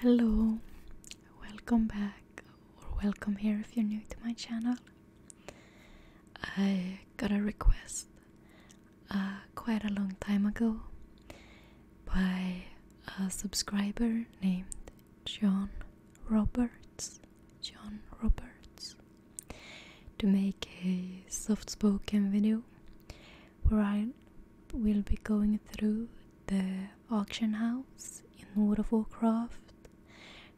Hello, welcome back, or welcome here if you're new to my channel. I got a request uh, quite a long time ago by a subscriber named John Roberts. John Roberts to make a soft spoken video where I will be going through the auction house in World of Warcraft.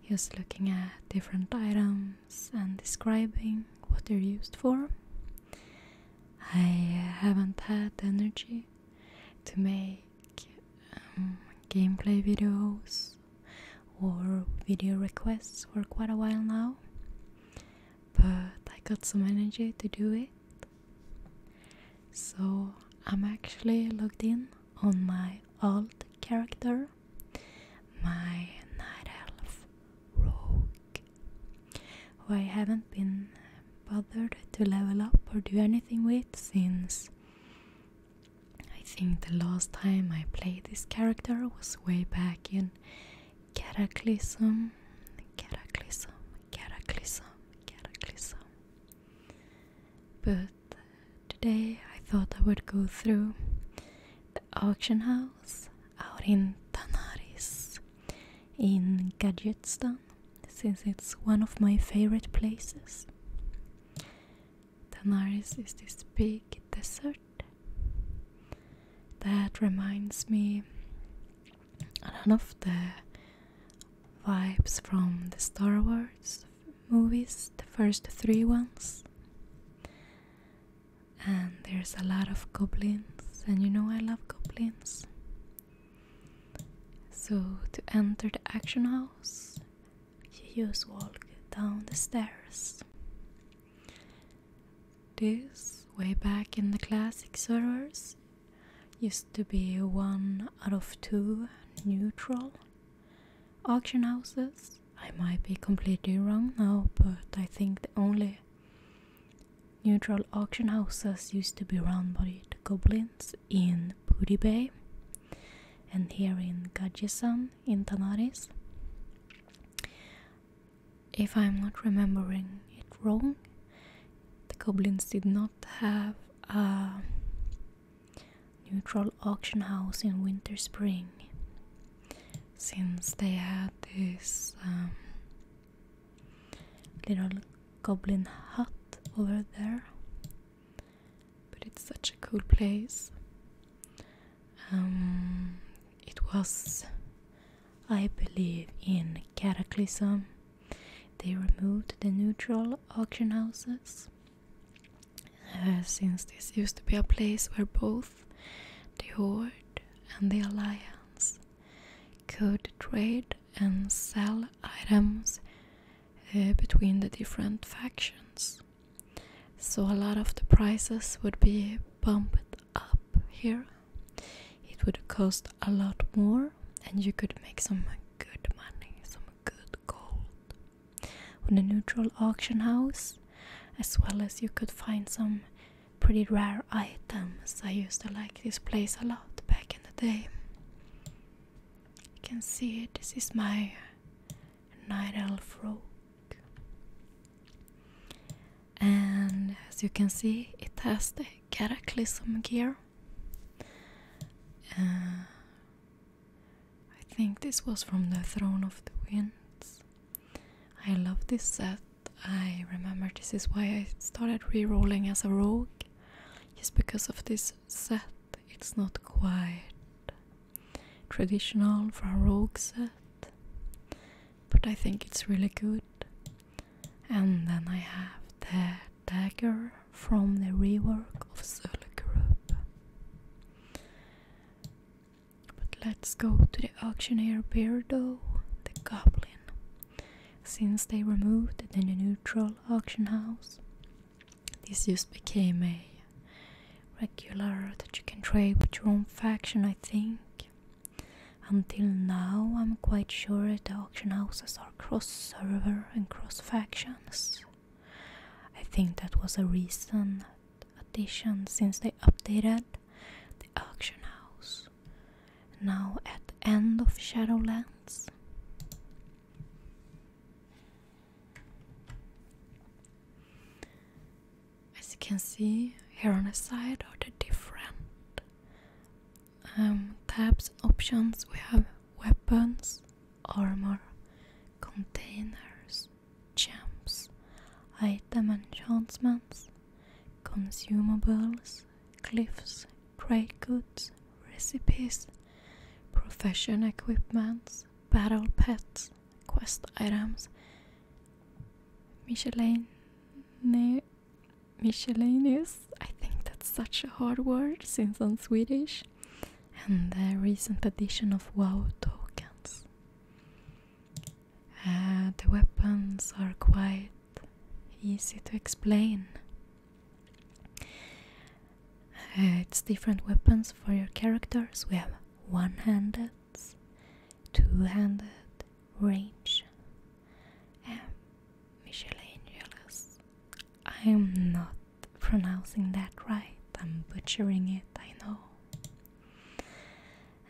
He looking at different items and describing what they're used for. I haven't had energy to make um, gameplay videos or video requests for quite a while now, but I got some energy to do it. So I'm actually logged in on my old character, my night elf rogue, who I haven't been bothered to level up or do anything with since I think the last time I played this character was way back in Cataclysm, Cataclysm, Cataclysm, cataclysm. But today I thought I would go through the auction house out in Tanaris in Gadgetstan since it's one of my favorite places. Tanaris is this big desert that reminds me a lot of the vibes from the Star Wars movies, the first three ones. And there's a lot of goblins, and you know I love goblins. So, to enter the action house, you just walk down the stairs. This, way back in the classic servers, used to be one out of two neutral auction houses. I might be completely wrong now, but I think the only neutral auction houses used to be run by the goblins in Booty Bay and here in Gajisan in Tanaris. If I'm not remembering it wrong, the goblins did not have a neutral auction house in winter spring since they had this um, little goblin hut over there but it's such a cool place um, it was i believe in cataclysm they removed the neutral auction houses uh, since this used to be a place where both the Horde and the Alliance could trade and sell items uh, between the different factions. So a lot of the prices would be bumped up here. It would cost a lot more, and you could make some good money, some good gold on a neutral auction house, as well as you could find some pretty rare items. I used to like this place a lot back in the day. You can see this is my night elf robe. And as you can see, it has the Cataclysm gear, uh, I think this was from the Throne of the Winds. I love this set. I remember this is why I started re-rolling as a rogue. Just because of this set, it's not quite traditional for a rogue set. But I think it's really good. And then I have the dagger from the rework of Zulu Group. But let's go to the auctioneer Beardo, the Goblin. Since they removed the neutral auction house, this just became a regular that you can trade with your own faction, I think. Until now, I'm quite sure the auction houses are cross server and cross factions. I think that was a recent addition since they updated the auction house. Now at the end of Shadowlands. As you can see here on the side are the different um, tabs options we have weapons, armor, containers, gems, item enchantments, consumables, cliffs, trade goods, recipes, profession equipments, battle pets, quest items, miscellaneous Miscellaneous. I think that's such a hard word since I'm Swedish. And the recent addition of WoW tokens. Uh, the weapons are quite easy to explain. Uh, it's different weapons for your characters. We have one handed, two handed, range, um, I am not pronouncing that right, I'm butchering it, I know.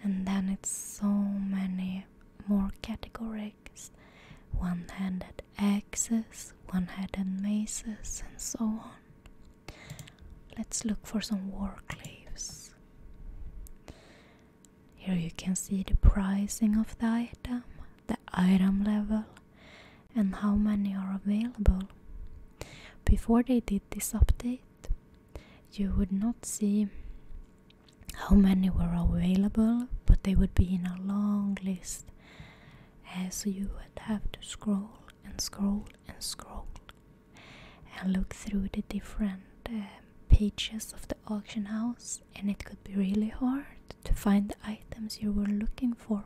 And then it's so many more categories one handed axes, one handed maces, and so on. Let's look for some war claves. Here you can see the pricing of the item the item level and how many are available. Before they did this update, you would not see how many were available, but they would be in a long list. as you would have to scroll and scroll and scroll and look through the different uh, pages of the auction house, and it could be really hard to find the items you were looking for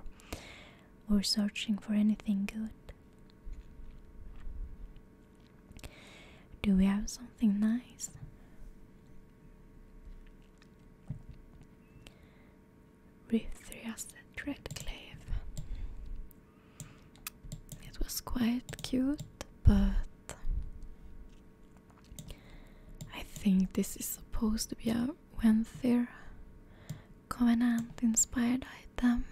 or searching for anything good. Do we have something nice? Rithriaset Redclave. It was quite cute, but I think this is supposed to be a Wenthyr Covenant inspired item.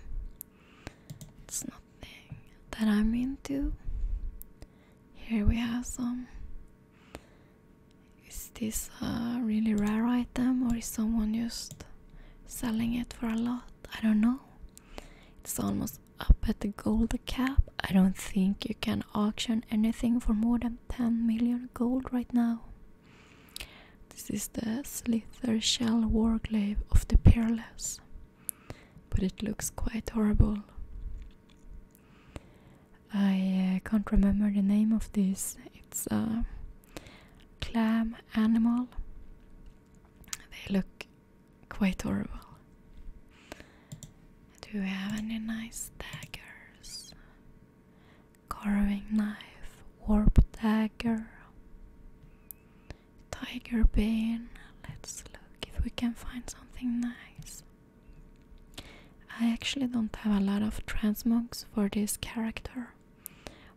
It's nothing that I'm into. Here we have some. Is this a really rare item or is someone just selling it for a lot? I don't know. It's almost up at the gold cap. I don't think you can auction anything for more than 10 million gold right now. This is the Slither Shell Warglaive of the Peerless, but it looks quite horrible. I uh, can't remember the name of this. It's a clam animal. They look quite horrible. Do you have any nice daggers? Carving knife, warp dagger, tiger bane. Let's look if we can find something nice. I actually don't have a lot of transmogs for this character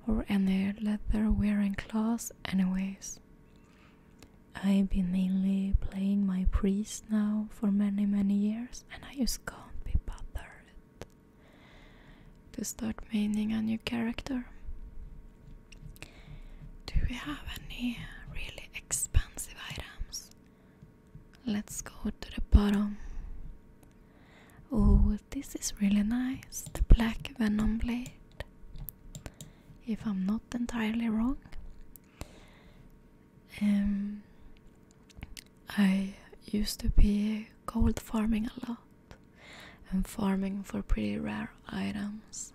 or any leather wearing clothes, anyways. I've been mainly playing my priest now for many many years and I just can't be bothered to start making a new character. Do we have any really expensive items? Let's go to the bottom. Oh, this is really nice. The black venom blade. If I'm not entirely wrong, I used to be gold farming a lot and farming for pretty rare items.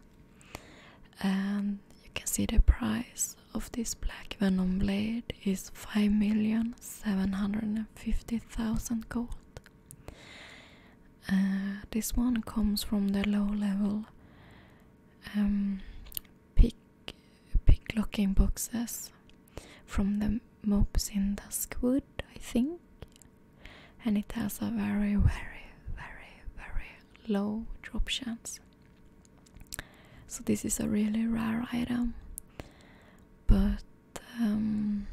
And you can see the price of this black venom blade is 5,750,000 gold. Uh, this one comes from the low level um, pick locking boxes from the mobs in Duskwood, I think. And it has a very, very, very, very low drop chance. So this is a really rare item. But um,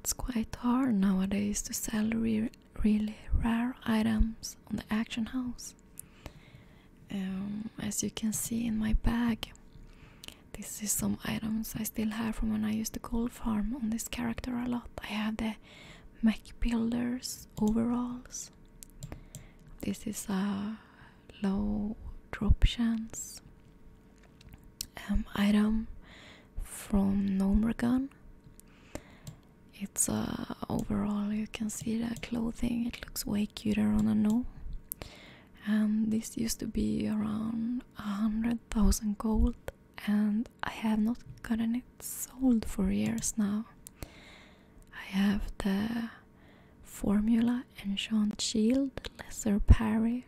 it's quite hard nowadays to sell really rare items on the auction house. Um, as you can see in my bag, this is some items I still have from when I used the gold farm on this character a lot. I have the mech builders overalls. This is a uh, low drop chance um, item from Nomergun. It's uh, overall you can see the clothing. It looks way like Cuterona and this used to be around a hundred thousand gold and I have not gotten it sold for years now. I have the formula enchant shield, lesser parry,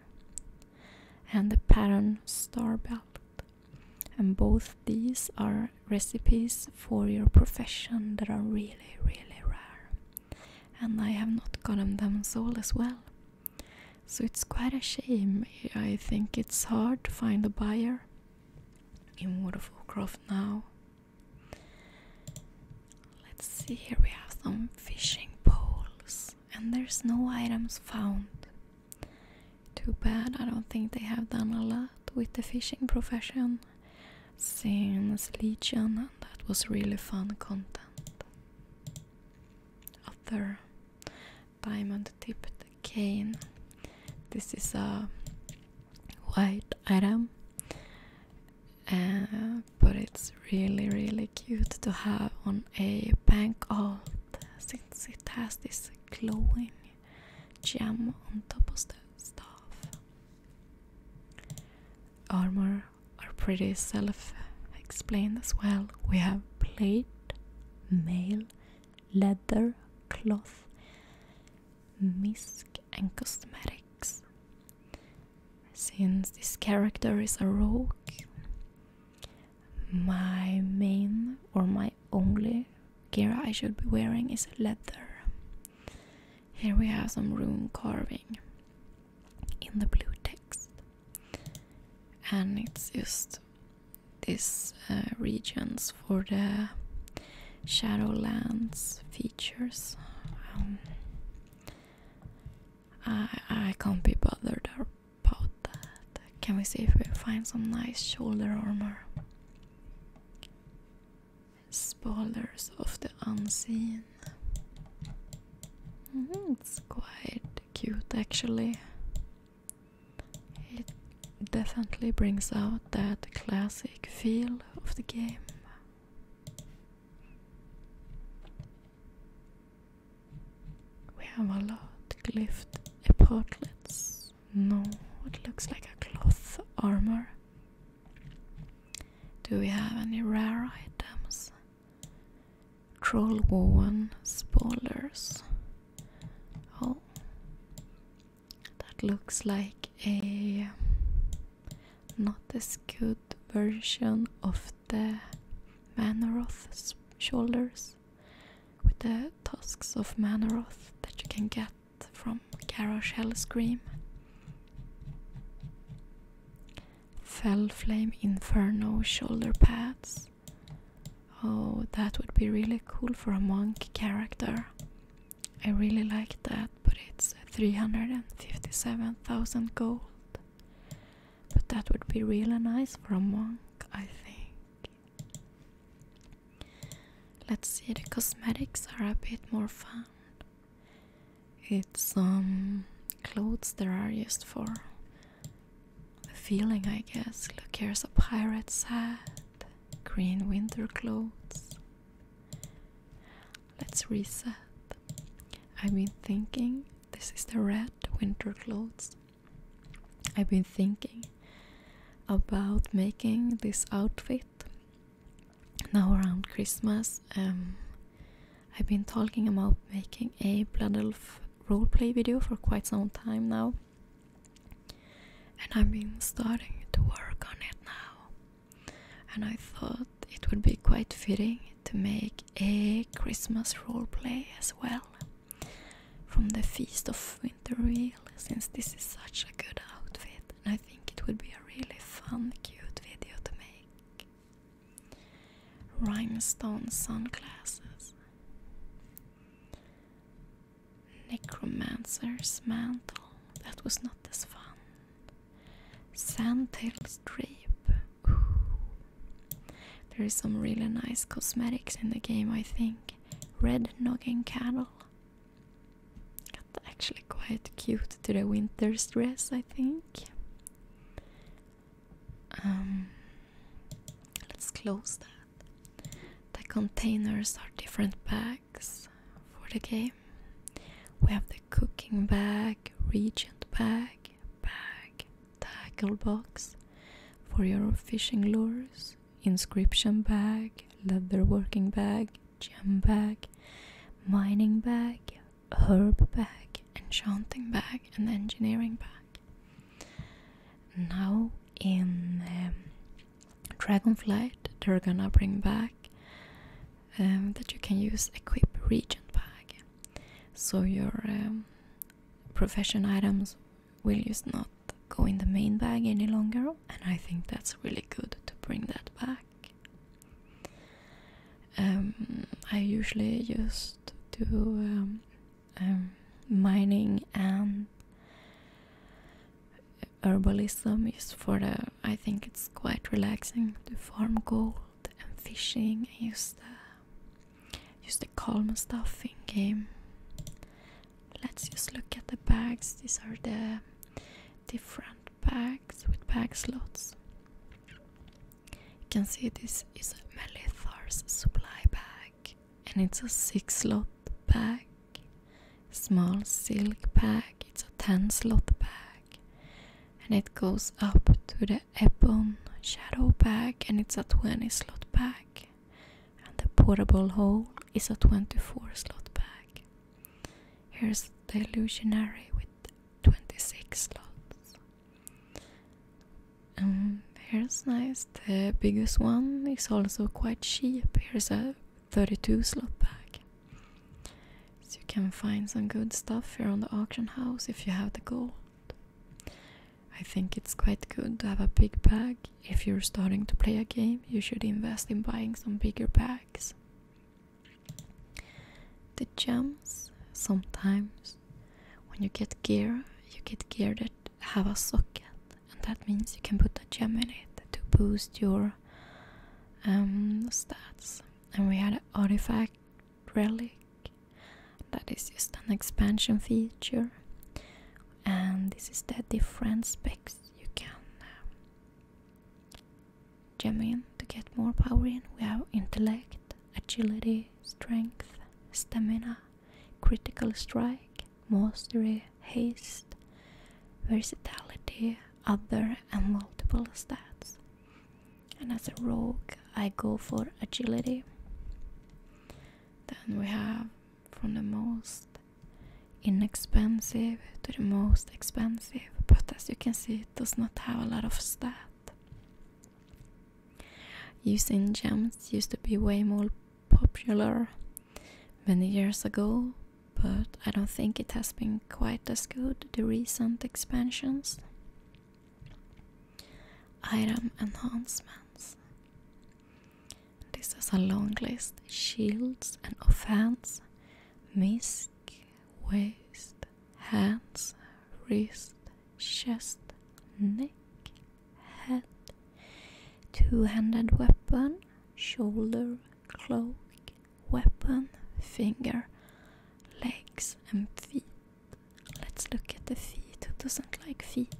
and the pattern star belt. And both these are recipes for your profession that are really, really rare and I have not gotten them sold as well. So it's quite a shame. I think it's hard to find a buyer in World of now. Let's see, here we have some fishing poles, and there's no items found. Too bad, I don't think they have done a lot with the fishing profession. Legion, Saints Legion, and that was really fun content. Other diamond tipped cane. This is a white item, uh, but it's really, really cute to have on a bank alt since it has this glowing gem on top of the staff armor are pretty self explained as well. We have plate, mail, leather, cloth, misk, and cosmetics. Since this character is a rogue, my main or my only gear I should be wearing is leather. Here we have some rune carving in the blue text, and it's just these uh, regions for the Shadowlands features. Um, I I can't be bothered about that. Can we see if we find some nice shoulder armor? Spoilers of the Unseen. Mm-hmm, it's quite cute actually. It definitely brings out that classic feel of the game. We have a lot of glyphed portlets. No, it looks like a cloth armor. Do we have any rare items? Troll woven spoilers. Oh, that looks like a not as good version of the Manoroth shoulders with the tusks of Manoroth that you can get from Garrosh Scream. Fell Flame Inferno shoulder pads. Oh, that would be really cool for a monk character. I really like that, but it's 357,000 gold. But that would be really nice for a monk, I think. Let's see, the cosmetics are a bit more fun. It's um clothes that are used for feeling, I guess. Look, here's a pirate's hat, green winter clothes. Let's reset. I've been thinking this is the red winter clothes. I've been thinking about making this outfit now around Christmas. Um, I've been talking about making a Blood Elf roleplay video for quite some time now, and I've been starting to work on it now. And I thought it would be quite fitting to make a Christmas roleplay as well from the Feast of Winterreal, since this is such a good outfit, and I think it would be a really fun, cute video to make. Rhinestone sunglasses. Necromancer's mantle. That was not as fun. Sandtail strip. There is some really nice cosmetics in the game, I think. Red noggin cattle actually quite cute to the winter's dress, I think. Um, let's close that. The containers are different bags for the game. We have the cooking bag, regent bag, bag, tackle box for your fishing lures, inscription bag, leather working bag, gem bag, mining bag, herb bag, enchanting bag, and engineering bag. Now in um, Dragonflight, they're gonna bring back um, that you can use equip regent bag, so your um, profession items will just not go in the main bag any longer, and I think that's really good to bring that back. Um, I usually just do um, um, mining and herbalism is for the. I think it's quite relaxing to farm gold and fishing and use the use uh, the calm stuff in game. Let's just look at the bags. These are the different bags with bag slots. You can see this is a Melithar's supply bag and it's a 6 slot bag, small silk bag, it's a 10 slot bag and it goes up to the Ebon shadow bag and it's a 20 slot bag and the portable hole is a 24 slot bag. Here's the illusionary with 26 slots. Um, here's nice. The biggest one is also quite cheap. Here's a 32 slot bag. So you can find some good stuff here on the auction house if you have the gold. I think it's quite good to have a big bag. If you're starting to play a game, you should invest in buying some bigger bags. The gems. sometimes when you get gear you get gear that have a socket and that means you can put a gem in it to boost your um, stats and we had an artifact relic that is just an expansion feature and this is the different specs you can uh, genuine to get more power in. We have intellect, agility, strength, stamina, critical strike, mastery, haste, versatility, other, and multiple stats. And as a rogue, I go for agility. Then we have from the most inexpensive to the most expensive but as you can see, it does not have a lot of stat. Using gems used to be way more popular many years ago, but I don't think it has been quite as good the recent expansions. Item enhancements. This is a long list: shields and offense, misc, waste, hands, wrist, chest, neck, head, two handed weapon, shoulder, cloak, weapon, finger, legs, and feet. Let's look at the feet. Who doesn't like feet?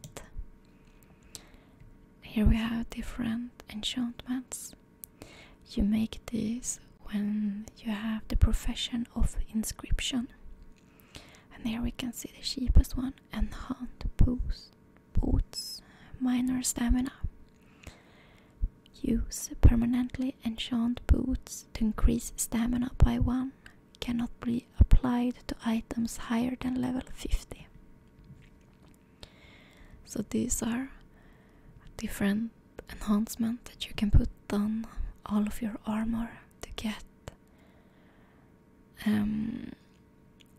Here we have different enchantments. You make these when you have the profession of inscription. And here we can see the cheapest one enhanced boost, boots, minor stamina. Use permanently enchant boots to increase stamina by 1. Cannot be applied to items higher than level 50. So these are different enhancement that you can put on all of your armor to get um,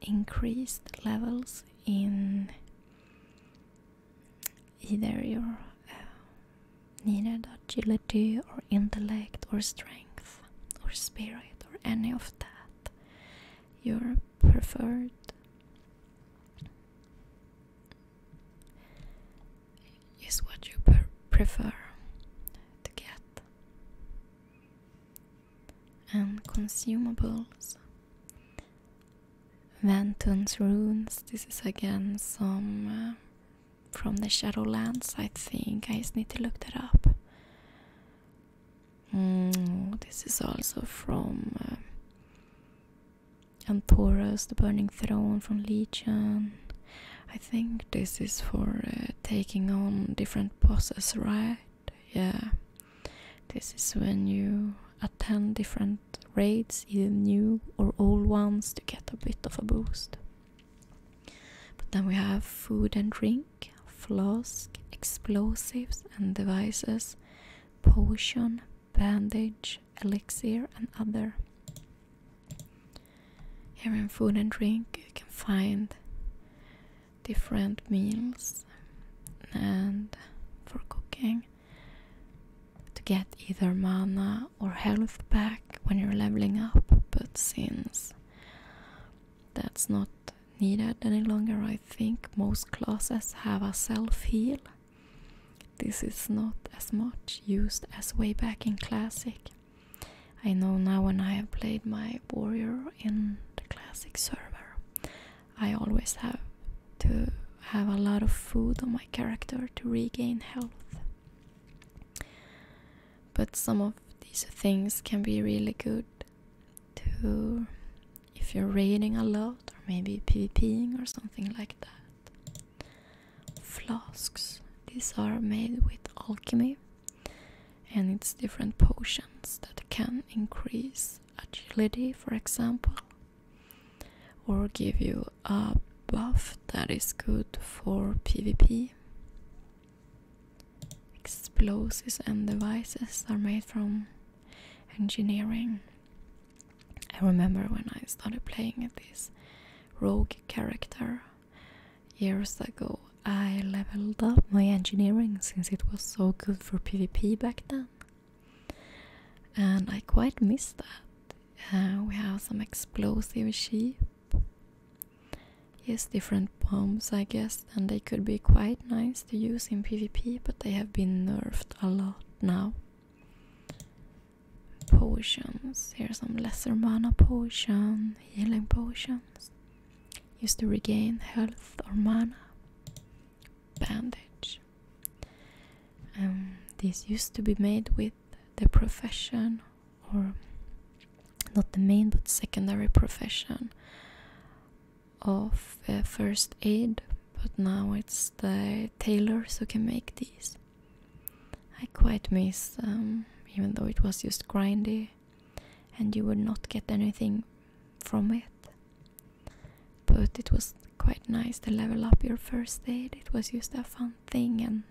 increased levels in either your uh, needed agility or intellect or strength or spirit or any of that your preferred is what you prefer to get. And consumables. Venton's runes. This is again some uh, from the Shadowlands, I think. I just need to look that up. Mm, this is also from uh, Antorus, the Burning Throne from Legion. I think this is for uh, taking on different bosses, right? Yeah. This is when you attend different raids, either new or old ones, to get a bit of a boost. But then we have food and drink, flask, explosives and devices, potion, bandage, elixir, and other. Here in food and drink, you can find different meals and for cooking to get either mana or health back when you're leveling up, but since that's not needed any longer, I think most classes have a self heal this is not as much used as way back in Classic. I know now when I have played my warrior in the Classic server, I always have to have a lot of food on my character to regain health. But some of these things can be really good to if you're raiding a lot or maybe PvPing or something like that flasks. These are made with alchemy and it's different potions that can increase agility, for example, or give you a buff that is good for PvP. Explosives and devices are made from engineering I remember when I started playing this rogue character years ago, I leveled up my engineering since it was so good for PvP back then. And I quite miss that. Uh, we have some explosive she. Yes, different bombs, I guess, and they could be quite nice to use in PvP, but they have been nerfed a lot now potions. Here are some lesser mana potion, healing potions. Used to regain health or mana. Bandage. Um, this used to be made with the profession, or not the main but secondary profession of uh, first aid, but now it's the tailors who can make these. I quite miss um, even though it was just grindy and you would not get anything from it. But it was quite nice to level up your first aid. It was just a fun thing and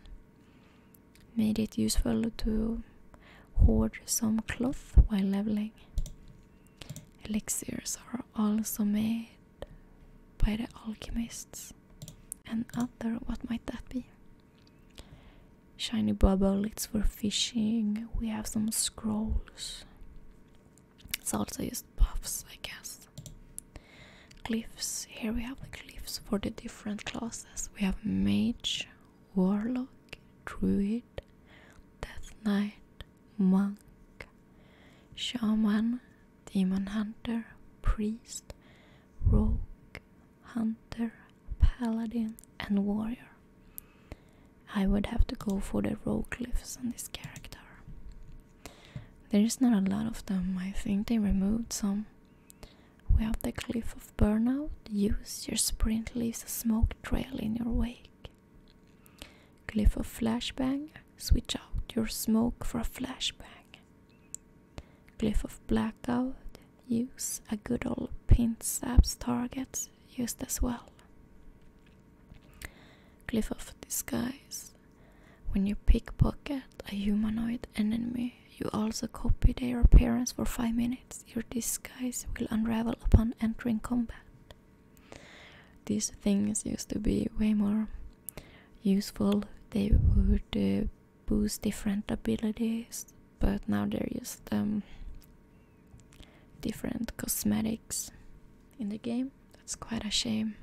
made it useful to hoard some cloth while leveling. Elixirs are also made by er the alchemists. And other, what might that be? Shiny bubble, it's for fishing. We have some scrolls. It's also just buffs, I guess. Cliffs, here we have the cliffs for the different classes. We have mage, warlock, druid, death knight, monk, shaman, Demon Hunter, Priest, Rogue, Hunter, Paladin, and Warrior. I would have to go for the rogue glyphs on this character. There's not a lot of them, I think they removed some. We have the Cliff of Burnout. Use your sprint leaves a smoke trail in your wake. Cliff of Flashbang. Switch out your smoke for a flashbang. Cliff of Blackout use a good old pinsaps target used as well. Cliff of Disguise When you pickpocket a humanoid enemy, you also copy their appearance for 5 minutes. Your disguise will unravel upon entering combat. These things used to be way more useful. They would uh, boost different abilities, but now they're just um, different cosmetics in the game. That's quite a shame.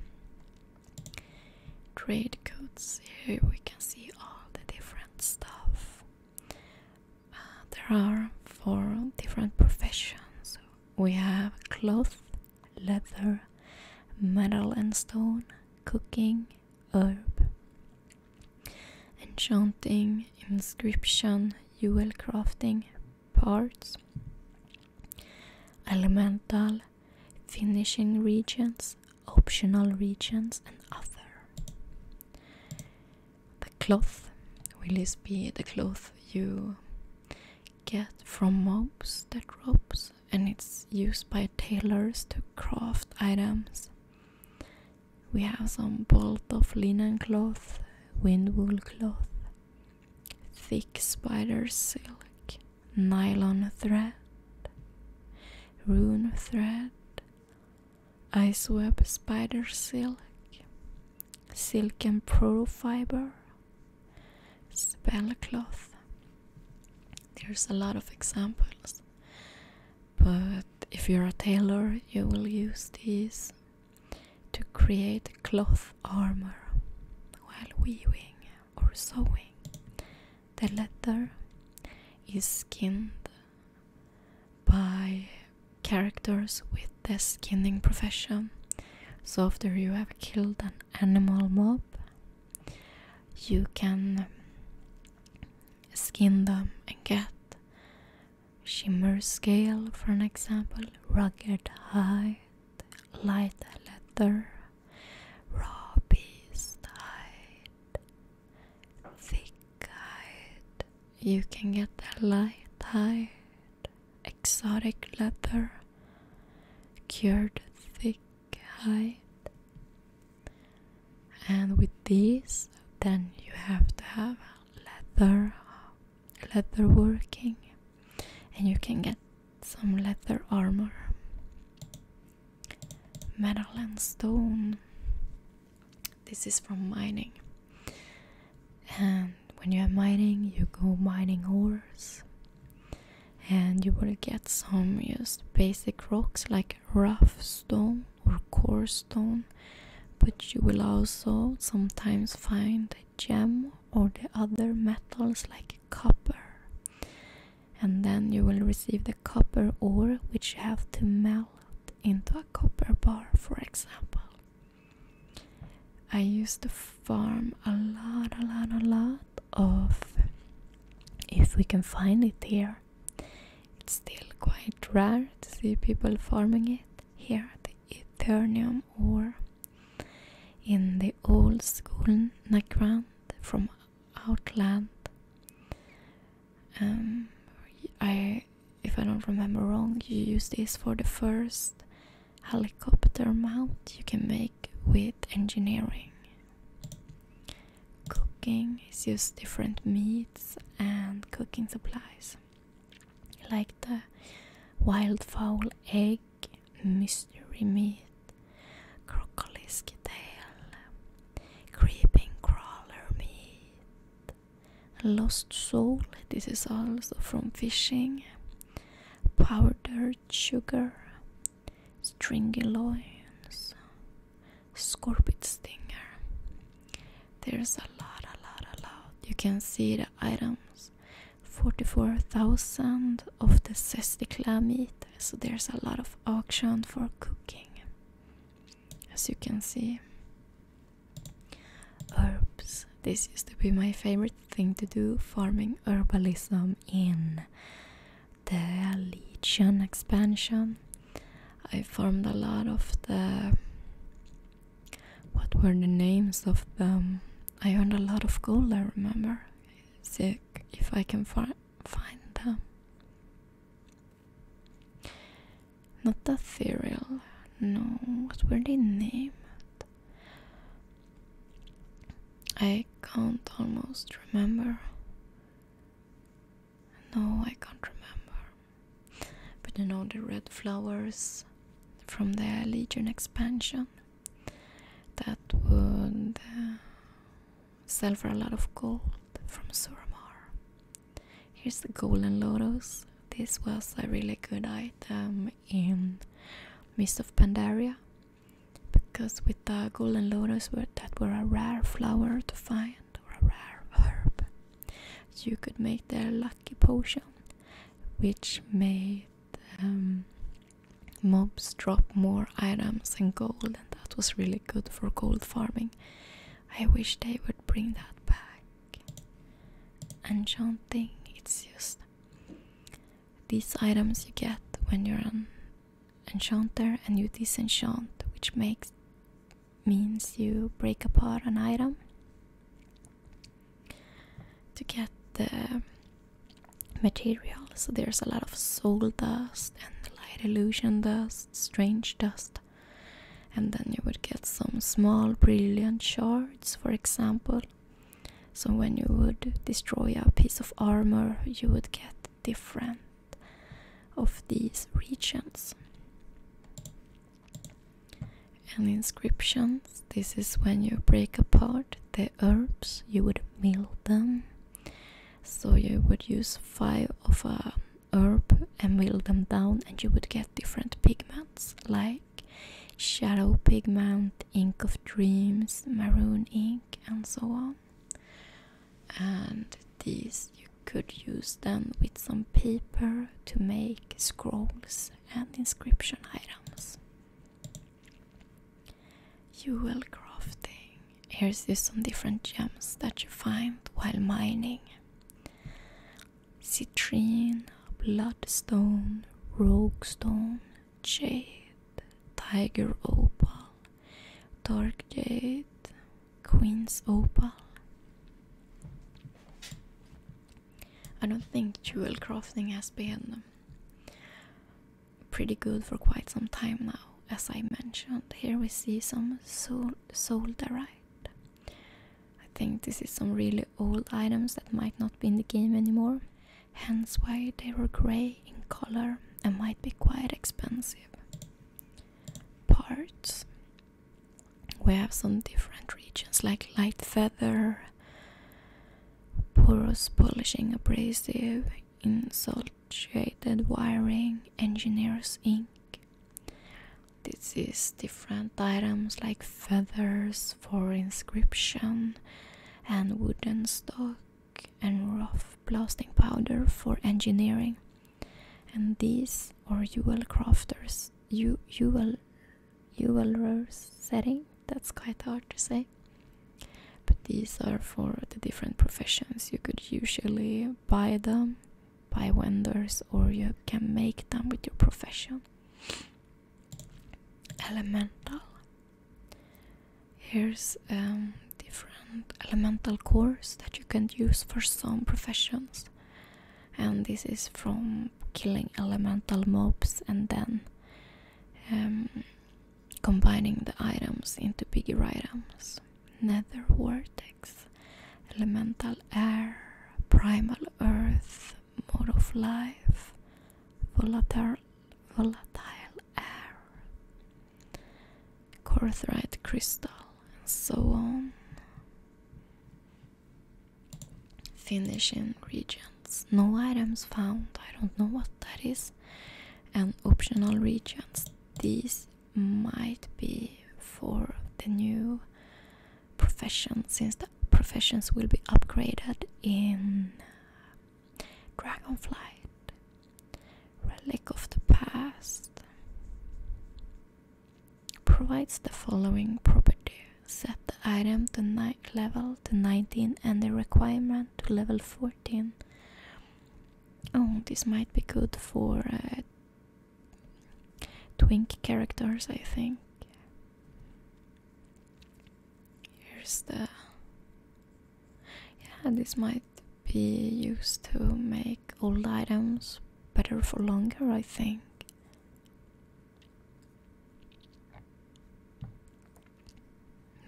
Trade codes. Here we can see all the different stuff. Uh, there are four different professions. We have cloth, leather, metal and stone, cooking, herb, enchanting, inscription, jewel crafting, parts, elemental, finishing regions, optional regions, and other. The cloth will this be the cloth you get from mobs that drops? and it's used by tailors to craft items. We have some bolt of linen cloth, wind wool cloth, thick spider silk, nylon thread, rune thread, ice web spider silk, silken and fiber spellcloth. There's a lot of examples, but if you're a tailor, you will use these to create cloth armor while weaving or sewing. The leather is skinned by characters with the skinning profession. So, after you have killed an animal mob, you can skin them and get shimmer scale for an example rugged hide, light leather raw beast height thick height you can get a light height exotic leather cured thick and with this, then you have to have leather leather working and you can get some leather armor metal and stone this is from mining and when you are mining you go mining ores and you will get some just basic rocks like rough stone or coarse stone but you will also sometimes find a gem or the other metals like copper and then you will receive the copper ore which you have to melt into a copper bar for example i used to farm a lot a lot a lot of if we can find it here. It's still quite rare to see people farming it here the Eternium or in the old school Nagrand from Outland. Um, I, if I don't remember wrong, you use this for the first helicopter mount you can make with engineering Cooking is just different meats and cooking supplies like the wildfowl egg, mystery meat, crocolisk tail, creeping crawler meat, lost soul, this is also from fishing, powdered sugar, stringy loins, scorpion stinger. There's a lot, a lot, a lot. You can see the items 44,000 of the zesty meat. So there's a lot of auction for cooking, as you can see. Herbs. This used to be my favorite thing to do farming herbalism in the Legion expansion, I formed a lot of the. What were the names of them? I earned a lot of gold, I remember. See if I can fi find them. Not the Ethereal, no. What were they named? I can't almost remember. No, I can't remember. But you know the red flowers from the Legion expansion that would uh, sell for a lot of gold from Suramar. Here's the golden lotus. This was a really good item in Mist of Pandaria because with the golden lotus that were a rare flower to find or a rare herb you could make their lucky potion which made um, mobs drop more items and gold and that was really good for gold farming i wish they would bring that back enchanting it's just these items you get when you're on enchanter and you disenchant, which makes means you break apart an item to get the materials. there's a lot of soul dust and light illusion dust, strange dust, and then you would get some small brilliant shards, for example. So when you would destroy a piece of armor, you would get different of these regions. And inscriptions this is when you break apart the herbs, you would mill them. So you would use five of a herb and mill them down, and you would get different pigments like shadow pigment, ink of dreams, maroon ink, and so on. And these you could use them with some paper to make scrolls and inscription items. You will crafting. Here's this some different gems that you find while mining. Citrine, bloodstone, rogue stone, jade, tiger opal, Dark Jade, Queen's Opal. I don't think jewel crafting has been pretty good for quite some time now. As I mentioned, here we see some sol solderite. I think this is some really old items that might not be in the game anymore, hence why they were grey in color and might be quite expensive. Parts we have some different regions like light feather, porous polishing abrasive, insulated wiring, engineer's ink. This is different items like feathers for inscription and wooden stock and rough blasting powder for engineering. And these are UL crafters, U UL, UL setting, that's quite hard to say. But these are for the different professions. You could usually buy them buy wenders, or you can make them with your profession. Elemental Here's um, different elemental cores that you can use for some professions, and this is from killing elemental mobs and then um, combining the items into bigger items. Nether vortex, elemental air, primal earth, mode of life, volatile air. Corthrite crystal, and so on. Finishing regions. No items found. I don't know what that is. And optional regions. These might be for the new profession, since the professions will be upgraded in Dragonflight, Relic of the Past, provides the following property. Set the item to night level to 19 and the requirement to level 14. Oh, this might be good for uh, twink characters, I think. Here's the yeah, this might be used to make old items better for longer, I think.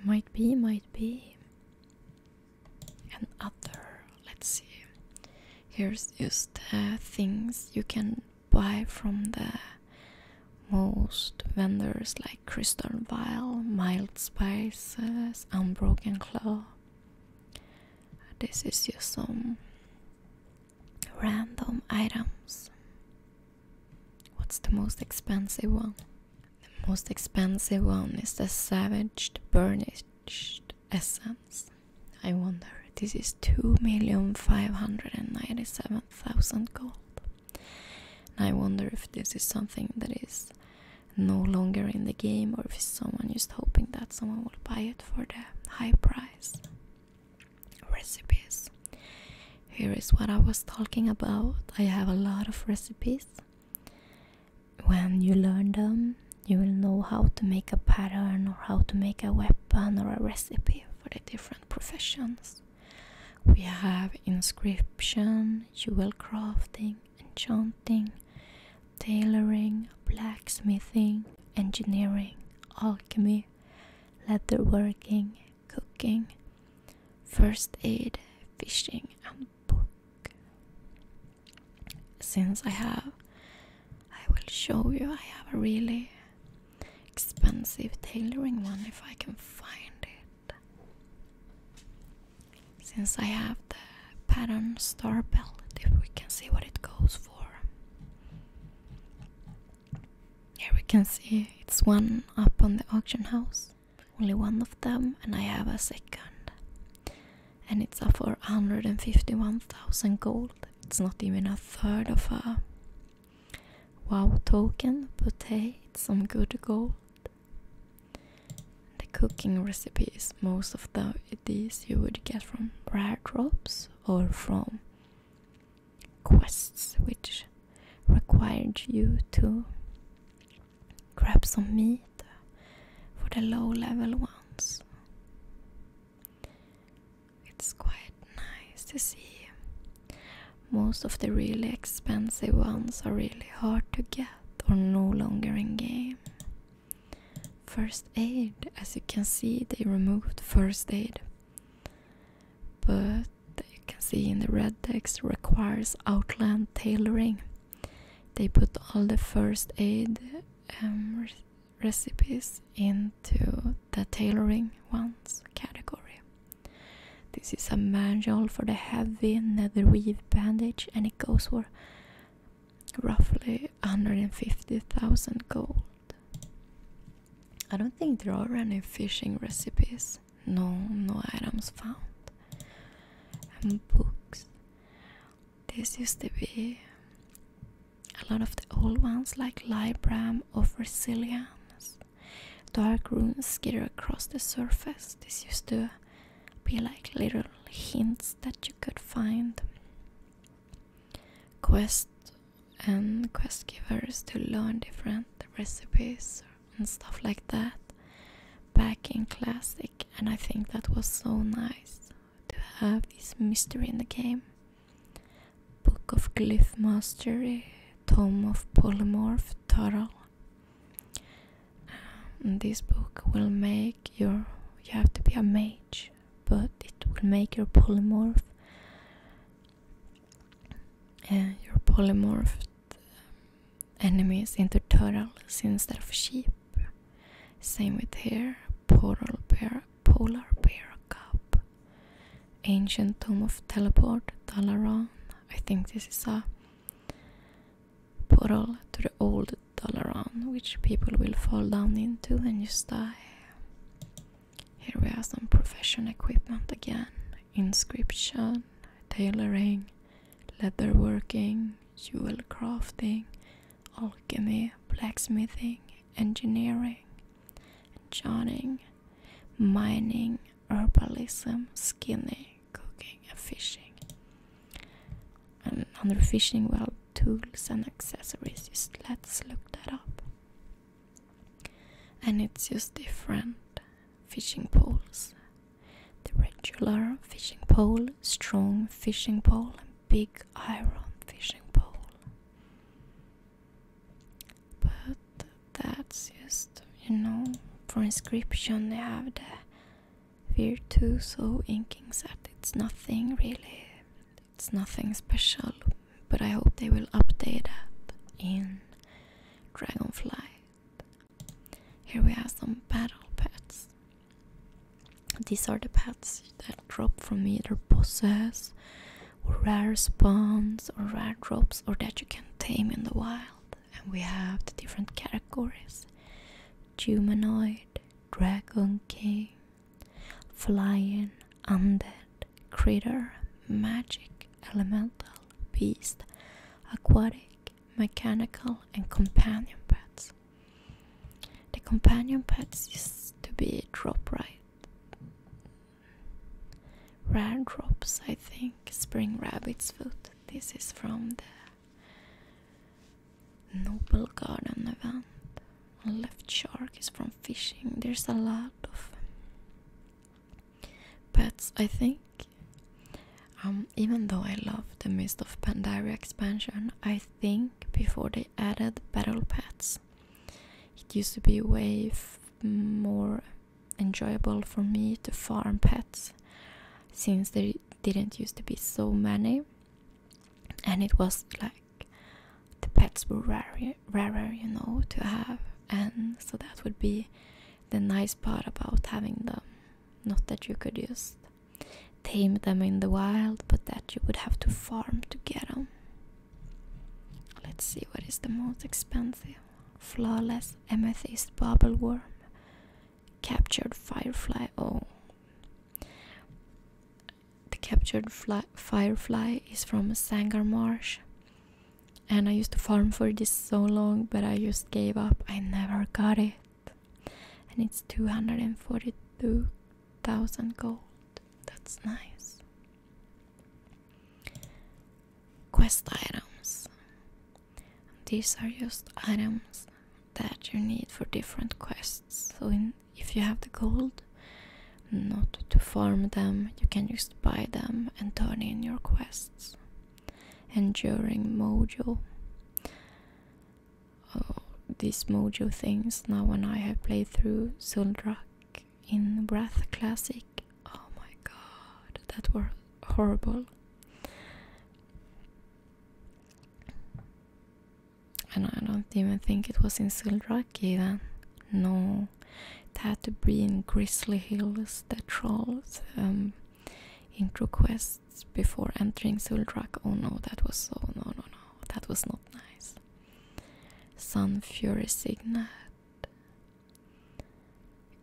Might be, might be. And other, let's see. Here's just things you can buy from the most vendors like Crystal Vial, Mild spices. Unbroken Claw. This is just some random items. What's the most expensive one? The most expensive one is the Savaged Burnished Essence. I wonder, this is 2,597,000 gold. I wonder if this is something that is no longer in the game or if someone is hoping that someone will buy it for the high price recipes here is what i was talking about i have a lot of recipes when you learn them you will know how to make a pattern or how to make a weapon or a recipe for the different professions we have inscription jewel crafting enchanting, tailoring, blacksmithing, engineering, alchemy, leatherworking, cooking, first aid, fishing, and book. Since I have, I will show you, I have a really expensive tailoring one if I can find it. Since I have the pattern star belt, if we can see what it goes for. Here we can see it's one up on the auction house, only one of them, and I have a second. And it's up for 151,000 gold. It's not even a third of a wow token, but hey, it's some good gold. The cooking recipes, most of the, these you would get from rare drops or from quests which required you to grab some meat for the low level ones. It's quite nice to see. Most of the really expensive ones are really hard to get or no longer in game. First aid, as you can see, they removed first aid. But you can see in the red text requires outland tailoring. They put all the first aid um, recipes into the tailoring ones category. This is a manual for the heavy netherweave bandage and it goes for roughly 150,000 gold. I don't think there are any fishing recipes. No, no items found. And books. This used to be a lot of the old ones, like Libram of Resilience. Dark runes skitter across the surface. This used to be like little hints that you could find. Quest and quest givers to learn different recipes and stuff like that back in Classic, and I think that was so nice to have this mystery in the game. Book of Glyph Mastery, Tome of Polymorph Turtle. Um, this book will make your. You have to be a mage, but it will make your polymorph. Uh, your polymorphed um, enemies into turtles instead of sheep. Same with here. Polar bear, polar bear cup. Ancient tomb of teleport, Dalaran. I think this is a portal to the old dollar on, which people will fall down into and just die. Here we have some professional equipment again. Inscription, tailoring, leather working, jewel crafting, alchemy, blacksmithing, engineering, enchanting, mining, herbalism, skinning, cooking, and fishing. And under fishing, well, tools and accessories. Just let's look that up. And it's just different fishing poles. The regular fishing pole, strong fishing pole, and big iron fishing pole. But that's just, you know, for inscription they have there. We're too Virtuoso inking set. It's nothing really, it's nothing special, but I hope they will update that in Dragonfly. Here we have some battle pets. These are the pets that drop from either bosses, rare spawns, or rare drops, or that you can tame in the wild and we have the different categories humanoid, dragon king, flying, undead, critter, magic, elemental, beast, aquatic, mechanical, and companion pets. The companion pets used to be drop right. Rare drops, I think. Spring rabbit's foot. This is from the Noble garden event. Left shark is from fishing. There's a lot of pets, I think. Um, even though I love the Mist of Pandaria expansion, I think before they added battle pets, it used to be way more enjoyable for me to farm pets since there didn't used to be so many and it was like the pets were rarer, rarer you know to have and so that would be the nice part about having them not that you could just tame them in the wild but that you would have to farm to get them let's see what is the most expensive flawless amethyst bubble worm Captured Firefly. Oh. The captured firefly is from Sangar Marsh, and I used to farm for this so long, but I just gave up. I never got it, and it's two hundred and forty-two thousand gold. That's nice. Quest items. These are just items that you need for different quests. So, if you have the gold, not to farm them, you can just buy them and turn in your quests. Enduring Mojo. Oh, these Mojo things. Now, when I have played through Suldrak in Wrath Classic, oh my god, that were horrible. And I don't even think it was in Sildraki then. No, it had to be in Grizzly Hills, the Trolls, um, intro quests before entering Suldrack. Oh no, that was so. No, no, no, that was not nice. Sun Fury Signet.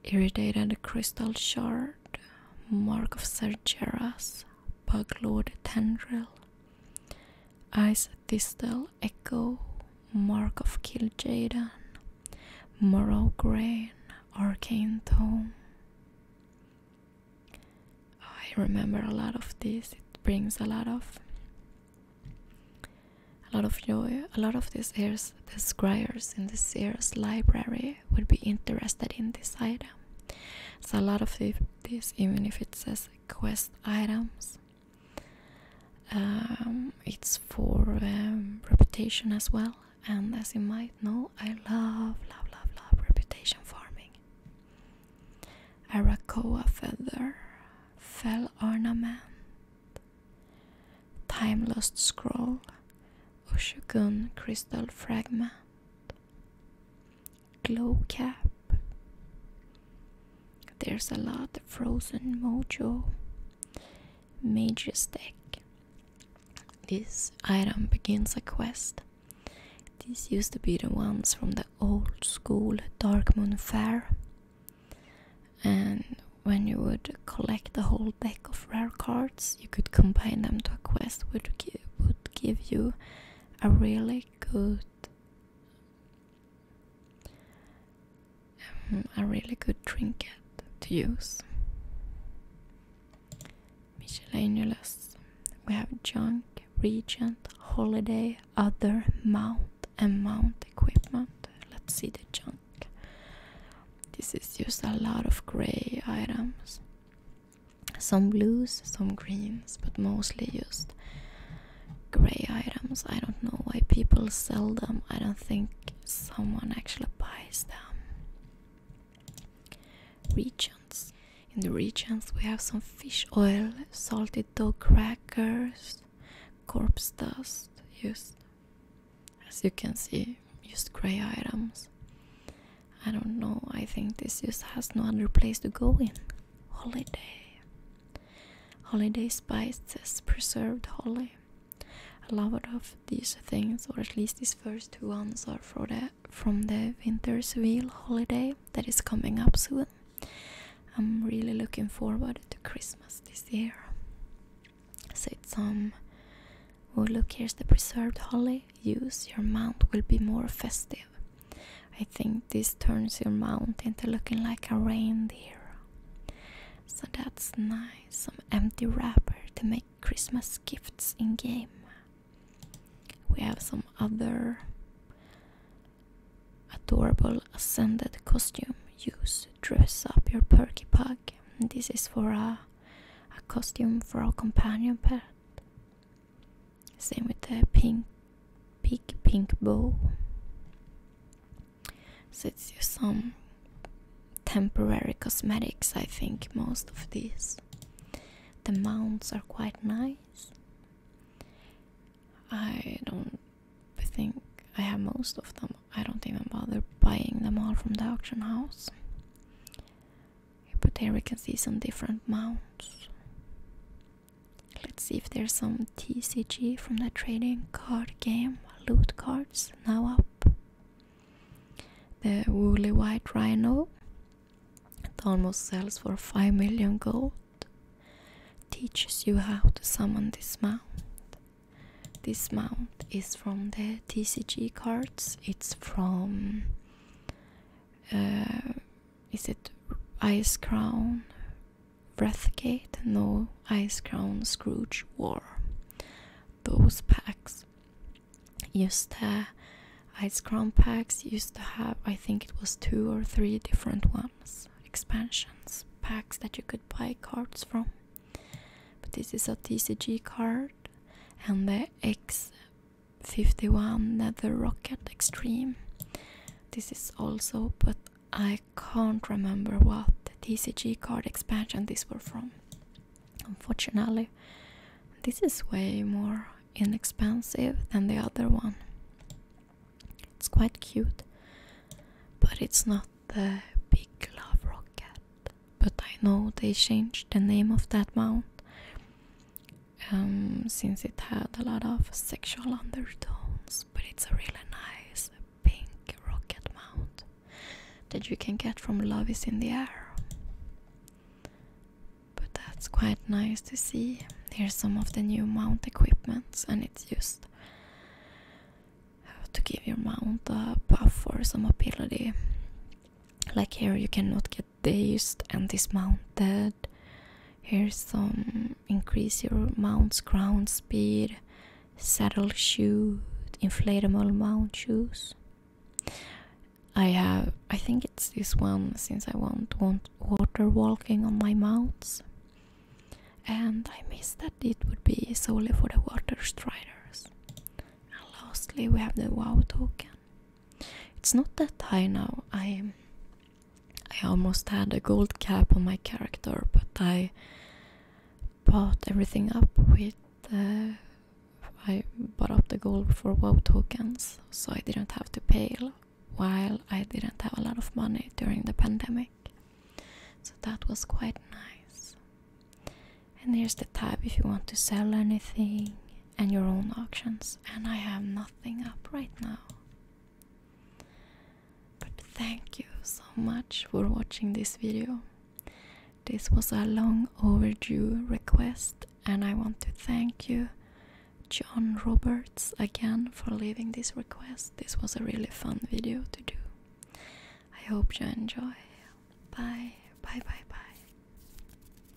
Irritated Crystal Shard. Mark of Sergeras. Buglord Tendril, Ice Thistle Echo, Mark of Kil'jaeden, Morrow Grain, Arcane Tome. I remember a lot of this. It brings a lot of a lot of joy. A lot of these heirs, the scribes in the Sears library would be interested in this item so a lot of this even if it says quest items um, it's for um, reputation as well and as you might know i love love love love reputation farming arakoa feather fell ornament time lost scroll ushugun crystal fragment Glow Cap. There's a lot of Frozen Mojo. Major deck. This item begins a quest. These used to be the ones from the old school Dark Moon Fair. And when you would collect the whole deck of rare cards you could combine them to a quest which would give you a really good um, a really good trinket to use. Miscellaneous. We have junk, regent, holiday, other, mount, and mount equipment. Let's see the junk. This is just a lot of grey items some blues, some greens, but mostly just gray items. I don't know why people sell them. I don't think someone actually buys them. Regions. In the regions we have some fish oil, salted dough crackers, corpse dust, just as you can see, used grey items. I don't know. I think this just has no other place to go in. Holiday. Holiday spices, preserved holly. A lot of these things, or at least these first two ones, are for the, from the wintersville holiday that is coming up soon. I'm really looking forward to Christmas this year. Said some. Um, oh look, here's the preserved holly use, your mount will be more festive. I think this turns your mount into looking like a reindeer. So that's nice. Some empty wrapper to make Christmas gifts in game. We have some other adorable ascended costume. Use dress up your perky pug. This is for a, a costume for a companion pet. Same with that pink, big pink bow. So it's just some temporary cosmetics, I think, most of these. The mounts are quite nice. I don't think I have most of them. I don't even bother buying them all from the auction house but there we can see some different mounts let's see if there's some tcg from the trading card game loot cards now up the woolly white rhino it almost sells for 5 million gold teaches you how to summon this mount this mount is from the tcg cards it's from Eh, is it Ice Crown Breathgate? No, Ice Crown Scrooge War. Those packs used to, Ice Crown packs used to have, I think it was two or three different ones, expansions, packs that you could buy cards from. But this is a TCG card, and the X 51 another Rocket Extreme. This is also, but I can't remember what TCG card expansion this were from. Unfortunately, this is way more inexpensive than the other one. It's quite cute, but it's not the Big Love Rocket. But I know they changed the name of that mount um, since it had a lot of sexual undertones, but it's a really nice pink rocket mount that you can get from Love in the Air. But that's quite nice to see. Here's some of the new mount equipments, and it's just uh, to give your mount a buff or some ability. Like here, you cannot get dazed and dismounted. Here's some increase your mount's ground speed, saddle shoe, inflatable mount shoes. I have, I think it's this one since I won't want water walking on my mounts. And I miss that it would be solely for the water striders. And lastly, we have the WoW token. It's not that high now. I I almost had a gold cap on my character, but I bought everything up with uh, I bought up the gold for WoW tokens, so I didn't have to pay while I didn't have a lot of money during the pandemic. So that was quite nice. And here's the tab if you want to sell anything and your own auctions, and I have nothing up right now. But thank you so much for watching this video. This was a long overdue request, and I want to thank you, John Roberts, again for leaving this request. This was a really fun video to do. I hope you enjoy. Bye, bye, bye, bye.